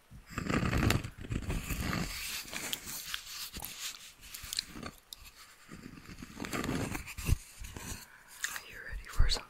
Are you ready for something?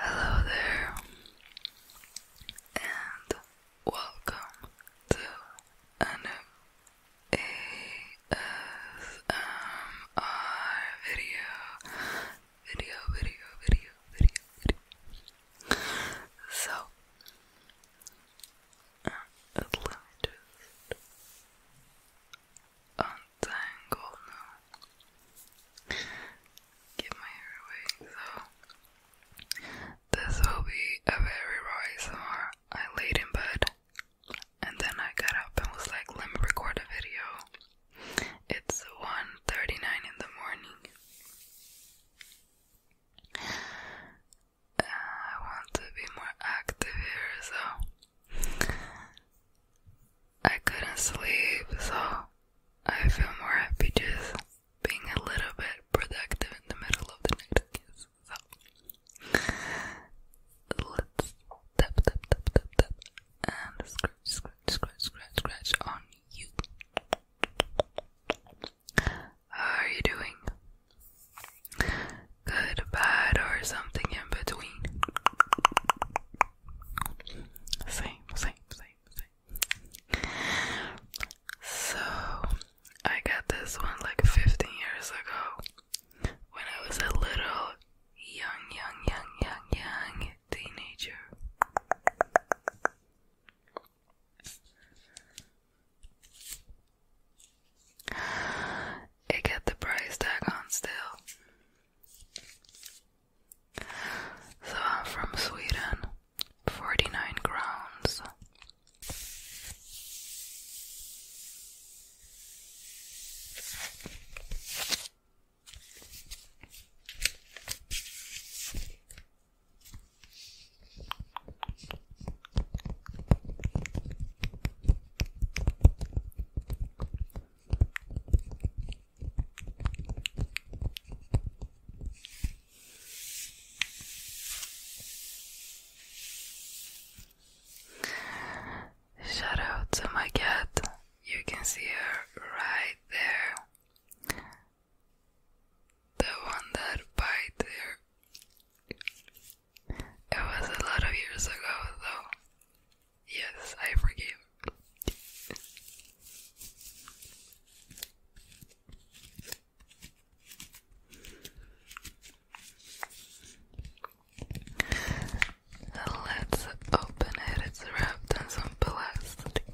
Hello there, and welcome to a ASMR Video, video, video, video, video. So, and let me just untangle now. my hair away, so this will be a very raw ASMR. I laid in bed and then I got up and was like, let me record a video. It's 1.39 in the morning. I want to be more active here, so I couldn't sleep, so I feel more happy just being a little bit productive in the middle of the night, So let's tap, tap, tap, tap, tap, and scratch, scratch, scratch, scratch, scratch on you. How are you doing? good, bad, or something in between. Same, same, same, same. So, I got this one like 15 years ago when I was a little young, young, young, young, young teenager. It get the price tag on still. So I'm from Sweden. 49 crowns. Shout out to my cat. You can see her right there. The one that bite there. It was a lot of years ago, though. Yes, I forgive. Let's open it. It's wrapped in some plastic,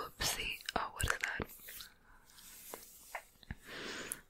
Oopsie. Oh, what is that?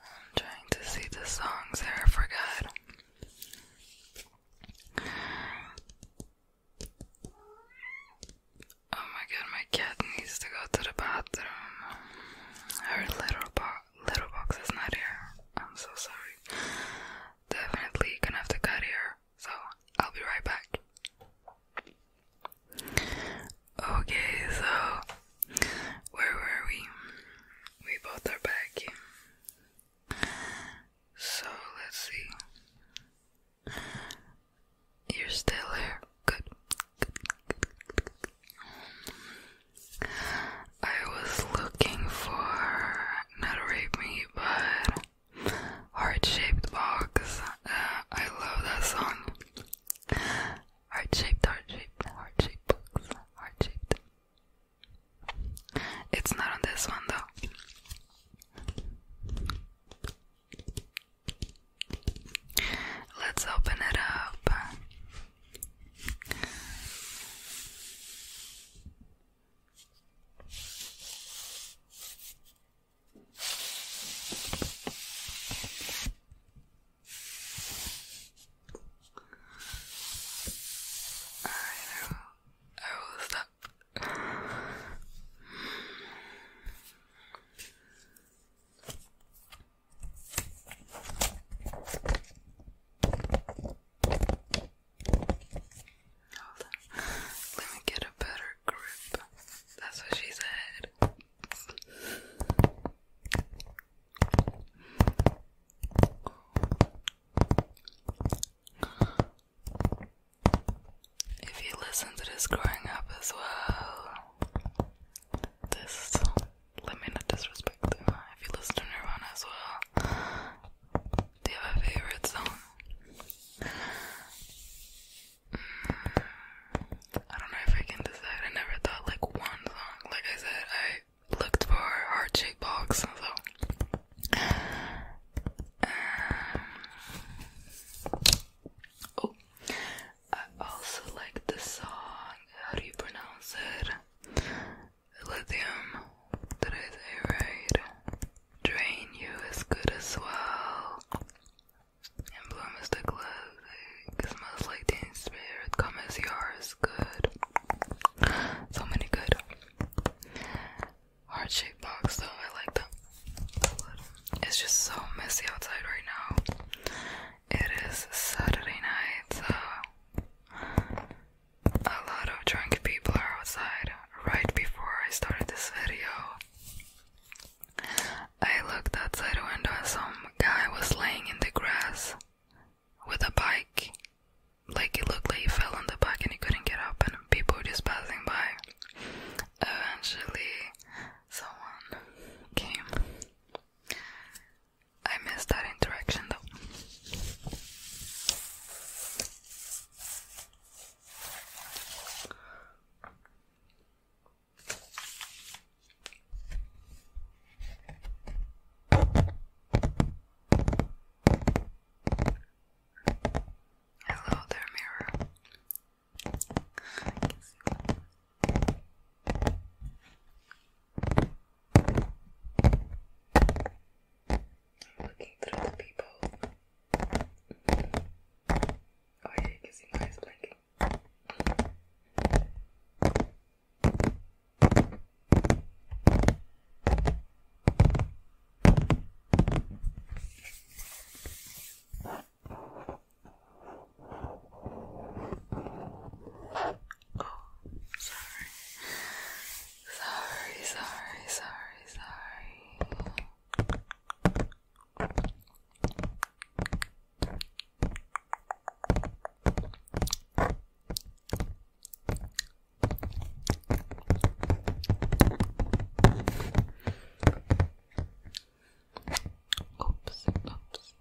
I'm trying to see the songs there. I forgot. Oh my god, my cat needs to go to the bathroom. Her little, bo little box is not here. I'm so sorry. Definitely gonna have to cut here. So I'll be right back. Okay, so where were we? We both are back. So let's see. You're still here. Good. Good, I was looking for not a rape me, but heart shaped box. Uh, I love that song. Heart shaped, heart shaped, heart shaped box, heart shaped. It's not on this one though. Let's open it up. I will, I will stop. Hold on. Let me get a better grip. That's what she said. If you listen to this growing up as well, this let me not disrespect them. If you listen to Nirvana as well, do you have a favorite song? Mm, I don't know if I can decide. I never thought like one song. Like I said, I looked for heart shaped box, so um, oh, I also like the song. How do you pronounce it? Lithium. Did I say right? Drain you is good as well. And bloom is the glow. Smells like teen spirit. Come as you good. So many good heart shaped box though. I like them. It's just so messy outside right now. It is Saturday night, so a lot of drunk people are outside. Right before I started this video, I looked outside the window and some guy was laying in the grass with a bike. Like it looked like he fell on the bike and he couldn't get up, and people were just passing by. Eventually, someone came. I missed that interaction though. Hello there, mirror. I'm looking through the people. Oh yeah, you can see my eyes blinking. Oh, sorry. Sorry, sorry, sorry, sorry. Oops, oops,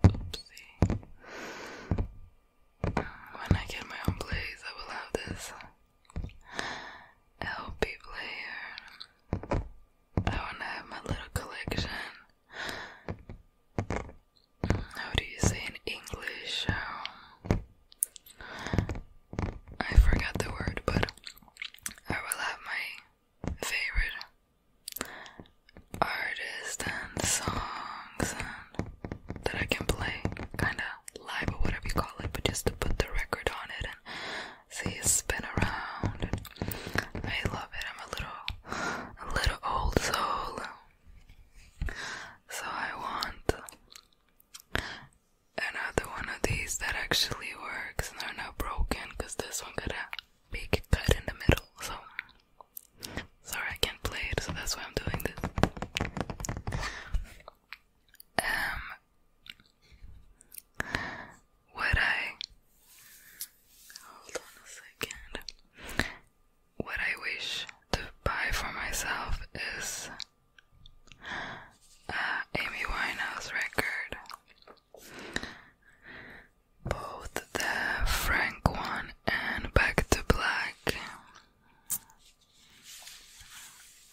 oopsie. When I get my own place, I will have this LP player. I want to have my little collection how do you say in English? Um, I forgot the word, but I will have my favorite artists and songs that I can play kind of live or whatever you call it, but just to put the record on it and see it spin around. I love it. I'm a little, a little old soul. So I want another one of these that actually works and they're not broken because this one got a big cut in the middle. So sorry I can't play it, so that's why I'm doing this. Um would I hold on a second what I wish to buy for myself is uh, Amy Winehouse record. Both the Frank one and Back to Black.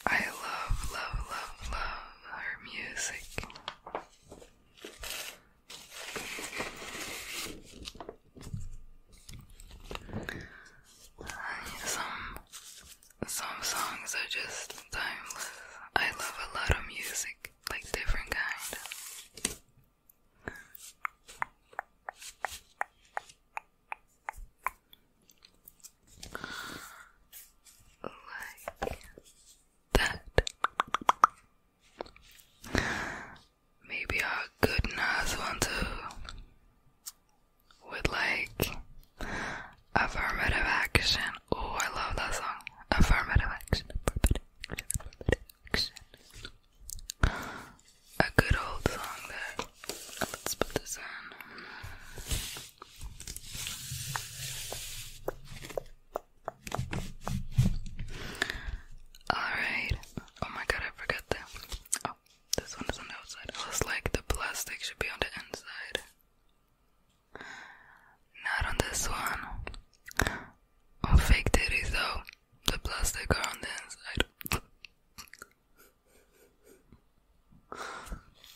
I love, love, love, love her music. Some some songs are just timeless. I love a lot of music, like different kind. Like that maybe a good nice one too, with like affirmative action. Oh, I love that song. Affirmative action, A good old song there. Let's put this in. Alright, Oh my god, I forgot that. Oh, this one is on the outside. I was like, the plastic should be on the inside. Not on this one. fake titties though, the plastic are on the inside.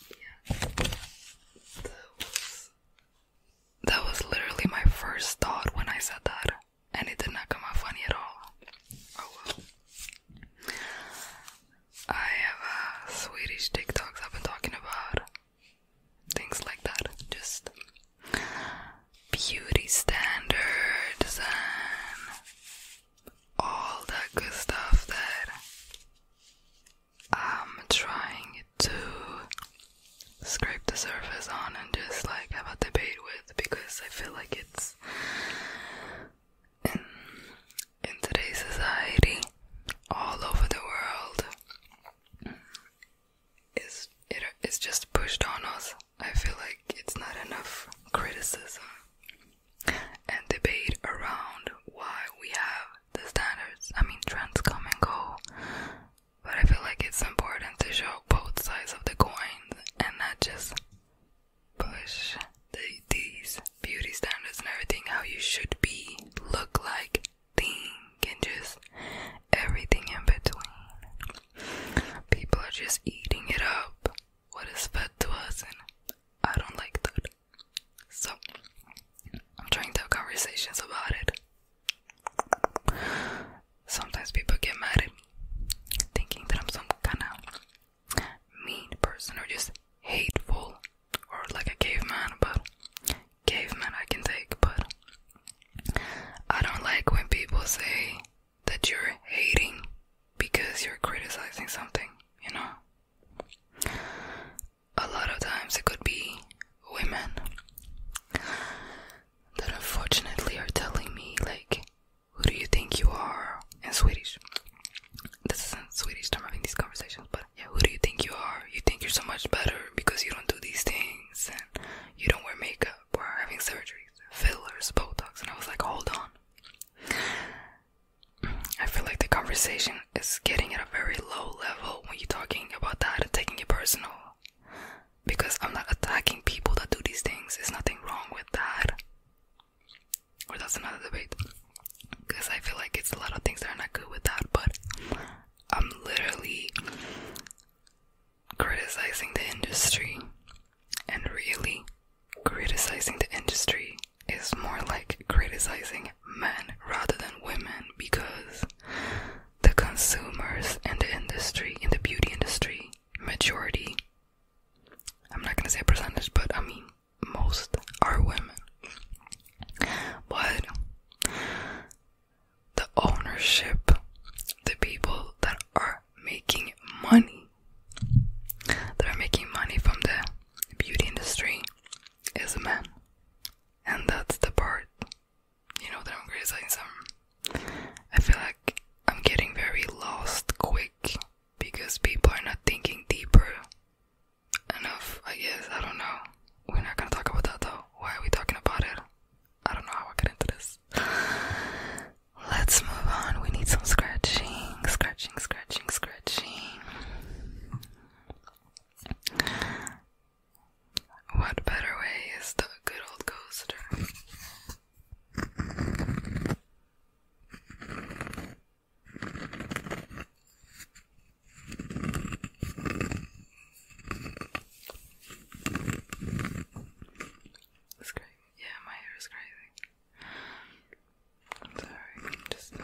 yeah. That was, that was literally my first thought when I said that and it did not come out funny at all. Oh I have uh, Swedish TikToks I've been talking about. Things like that. Just beauty standards and all that good stuff that I'm trying to scrape the surface on and just like have a debate with because I feel like it's else. in today's society, all over the world, is it is just pushed on us. I feel like it's not enough criticism and debate around why we have the standards. I mean, trends come and go, but I feel like it's important to show both sides of the coin and not just push these beauty standards and everything how you should be, look like, think, and just everything in between. People are just eating it up, what is fed to us, and I don't like that. So, I'm trying to have conversations about it. Sometimes people get mad at me, thinking that I'm some kind of mean person or just hateful or like a caveman. But caveman I can take, but I don't like when people say that you're hating because you're criticizing something, you know? A lot of times it could be women that unfortunately are telling me, like, who do you think you are? In Swedish. This isn't Swedish, I'm having these conversations, but yeah, who do you think you are? You think you're so much better because you don't do these things and you don't wear makeup or having surgeries, fillers, Botox. And I was like, hold on. I feel like the conversation is getting at a very low level when you're talking about that and taking it personal because I'm not attacking people that do these things. There's nothing wrong with that. Or that's another debate. Because I feel like it's a lot of things that are not good with that, but I'm literally criticizing the industry. And really, criticizing the industry is more like criticizing men rather than women because the consumers and the industry, in the beauty industry, majority I'm not gonna say percentage, but I mean, most are women. But the ownership, the people that are making money, that are making money from the beauty industry, is a man. And that's the part, you know, that I'm criticizing some I feel like I'm getting very lost quick because people are not thinking deeper enough, I guess. I don't know. We're not gonna talk about that though. Why are we talking about it? I don't know how I get into this. Let's move on. We need some scratching, scratching, scratching, scratching. What better way is the good old coaster? It's crazy. Yeah, my hair is crazy. sorry, just. Um,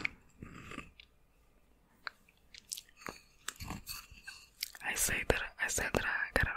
I say that I said that I got out of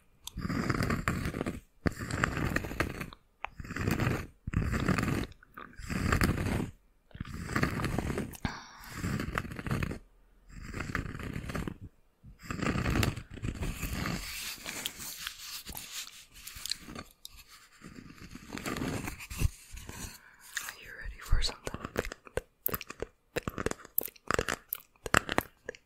Are you ready for something?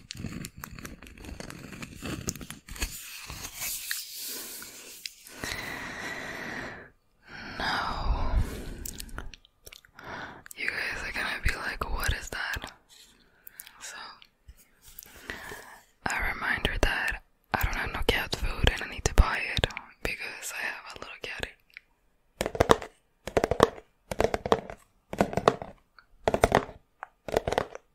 No. You guys are gonna be like, what is that? So, a reminder that I don't have no cat food and I need to buy it because I have a little cat.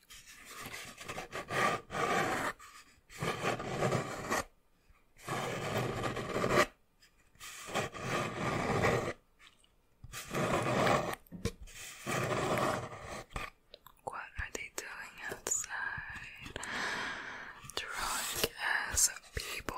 What are they doing outside? Drunk as people.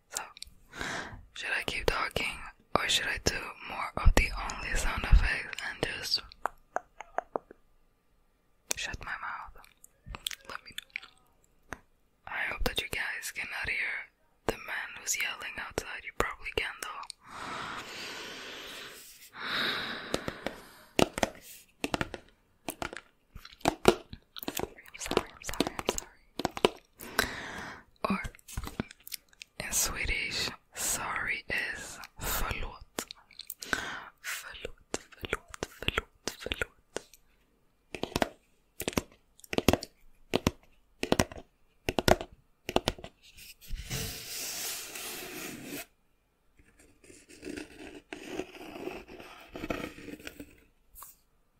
So, should I keep talking or should I do more of the only sound effects and just shut my mouth? Let me know. I hope that you guys cannot hear the man who's yelling outside. You probably can though. I'm sorry, I'm sorry, I'm sorry. Or in Swedish, sorry is förlåt. Förlåt, förlåt, förlåt, förlåt. So,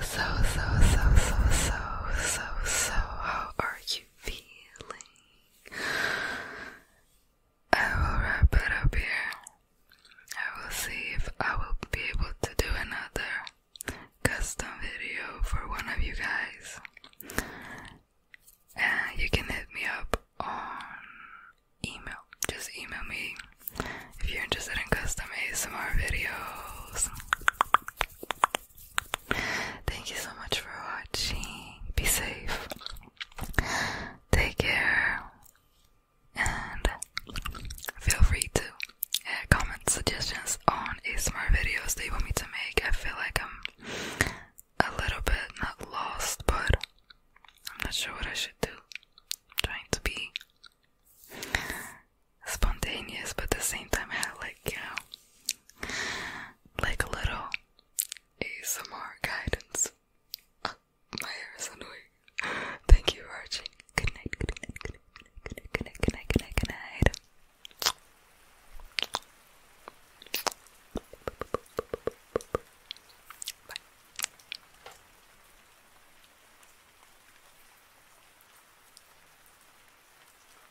so, so, so, so, so, so, so, how are you feeling? I will wrap it up here. I will see if I will be able to do another custom video for one of you guys. And you can hit me up on email. Just email me if you're interested in custom ASMR videos. Thank you so much for watching. Be safe. Take care. And feel free to comment suggestions on a smart videos they want me to make. I feel like I'm a little bit not lost, but I'm not sure what I should do. I'm trying to be spontaneous, but at the same time, I have like, you know, like a little ASMR guidance. Ah, my hair is Thank you for watching. Good night, good night, good night, good night, good night, good night, good night, good night. Bye.